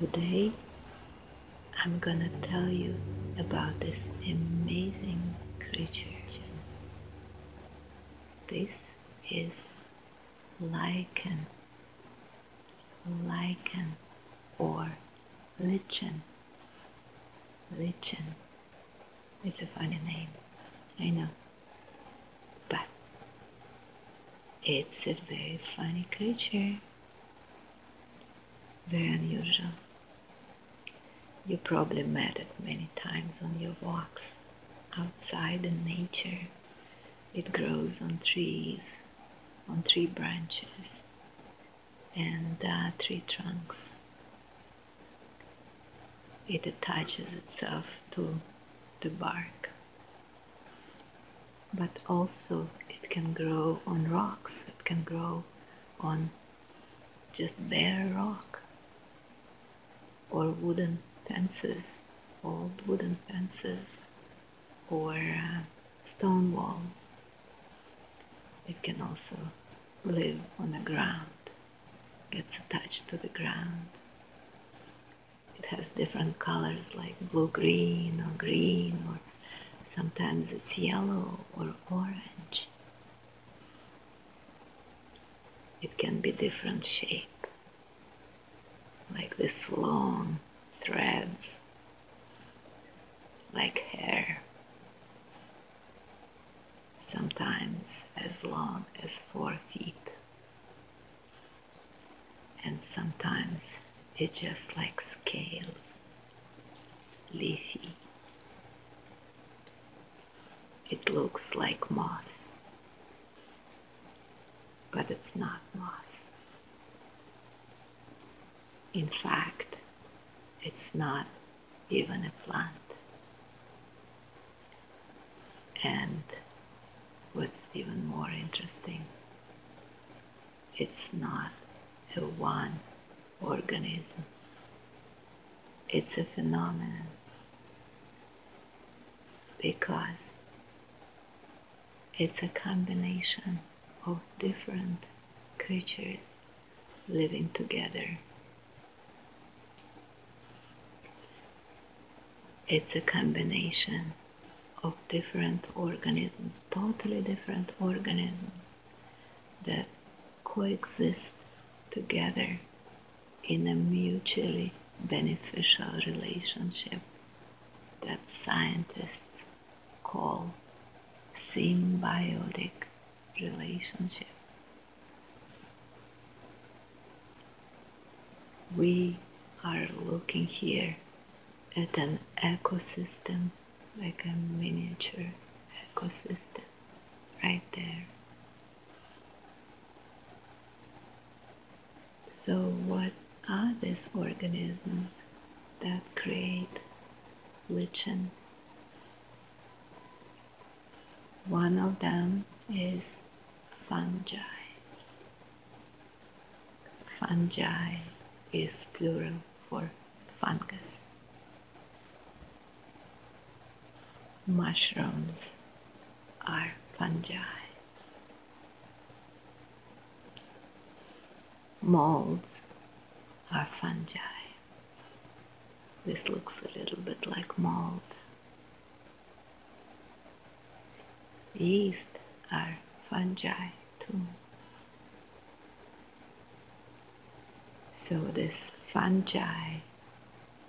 Today, I'm gonna tell you about this amazing creature. This is like an lichen or lichen. Lichen. It's a funny name, I know. But it's a very funny creature. Very unusual. You probably met it many times on your walks outside in nature. It grows on trees, on three branches and uh, three trunks. It attaches itself to the bark, but also it can grow on rocks, it can grow on just bare rock or wooden fences, old wooden fences or uh, stone walls. It can also live on the ground, gets attached to the ground. It has different colors like blue green or green, or sometimes it's yellow or orange. It can be different shape like this long threads, like hair, sometimes as long as four feet, and sometimes it's just like scales, leafy. It looks like moss but it's not moss. In fact, it's not even a plant. And what's even more interesting, it's not a one organism, it's a phenomenon because it's a combination of different creatures living together. It's a combination of different organisms, totally different organisms that coexist together in a mutually beneficial relationship that scientists call symbiotic relationship. We are looking here at an ecosystem like a miniature ecosystem right there so, what are these organisms that create lichen? One of them is fungi. Fungi is plural for fungus. Mushrooms are fungi. Molds are fungi. This looks a little bit like mold. Yeast are fungi too. So this fungi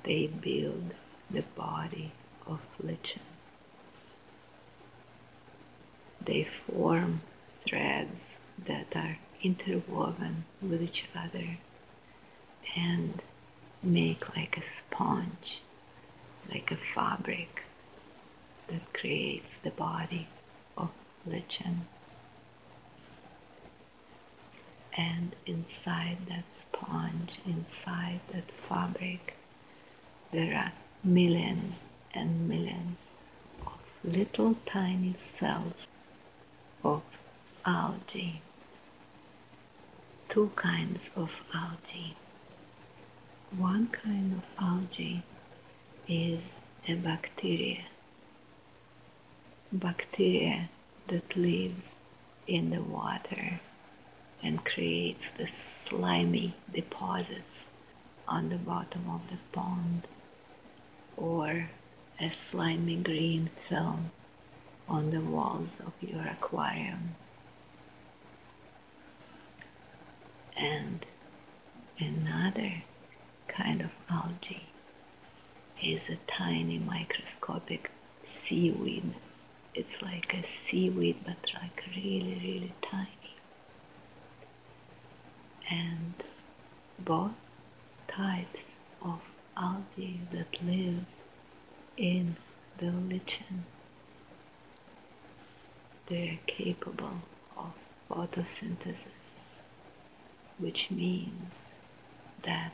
they build the body of lichen. They form threads that are interwoven with each other and make like a sponge, like a fabric that creates the body of lichen and inside that sponge, inside that fabric, there are millions and millions of little tiny cells of algae. Two kinds of algae. One kind of algae is a bacteria bacteria that lives in the water and creates the slimy deposits on the bottom of the pond or a slimy green film on the walls of your aquarium. And another kind of algae is a tiny microscopic seaweed. It's like a seaweed, but like really, really tiny. And both types of algae that lives in the lichen, they're capable of photosynthesis, which means that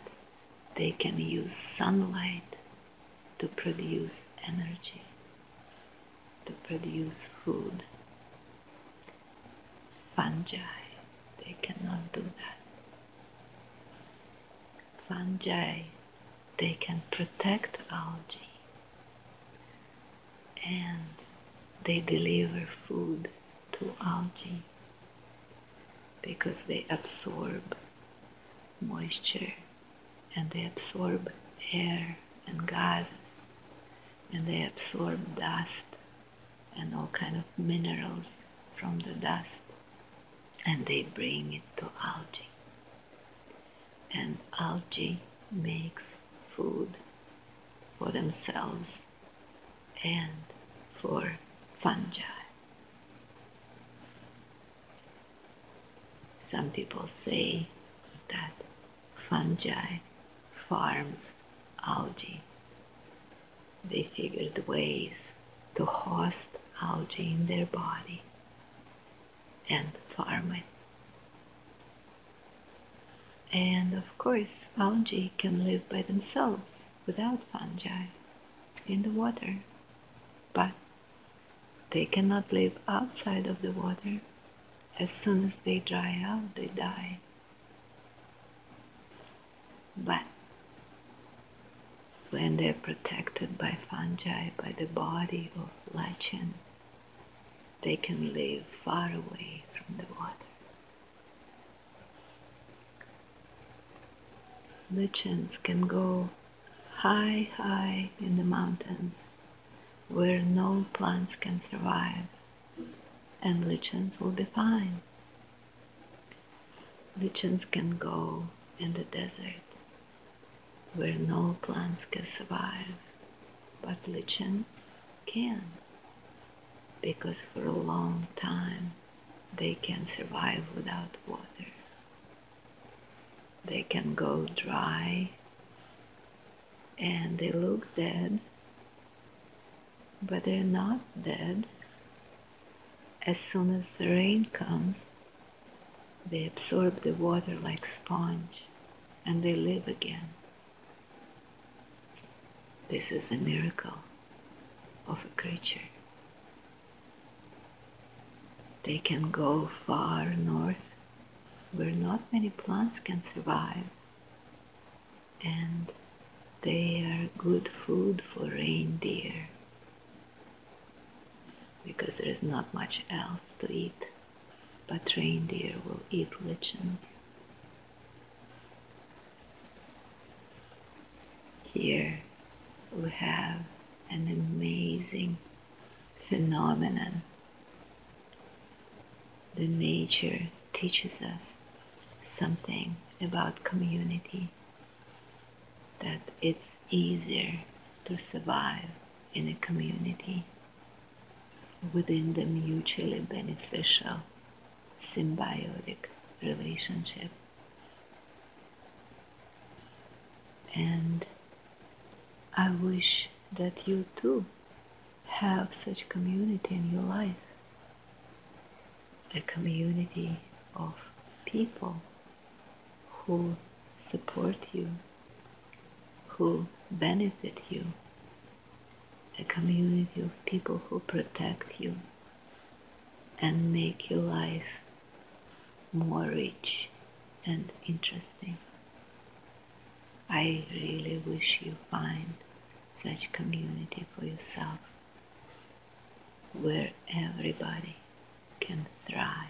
they can use sunlight to produce energy, to produce food. Fungi, they cannot do that. Fungi, they can protect algae and they deliver food to algae because they absorb moisture and they absorb air and gases and they absorb dust and all kind of minerals from the dust and they bring it to algae and algae makes food for themselves and for fungi. Some people say that fungi farms algae. They figured ways to host algae in their body and farm it. And of course, algae can live by themselves without fungi in the water, but they cannot live outside of the water. As soon as they dry out, they die. But when they're protected by fungi, by the body of lichen, they can live far away from the water. Lichens can go high, high in the mountains where no plants can survive, and lichens will be fine. Lichens can go in the desert where no plants can survive, but lichens can because for a long time they can survive without water. They can go dry and they look dead, but they're not dead. As soon as the rain comes, they absorb the water like sponge and they live again. This is a miracle of a creature. They can go far north where not many plants can survive, and they are good food for reindeer because there is not much else to eat but reindeer will eat lichens. Here we have an amazing phenomenon. The nature teaches us something about community that it's easier to survive in a community within the mutually beneficial symbiotic relationship. And I wish that you too have such community in your life a community of people who support you who benefit you, a community of people who protect you and make your life more rich and interesting. I really wish you find such community for yourself where everybody can thrive.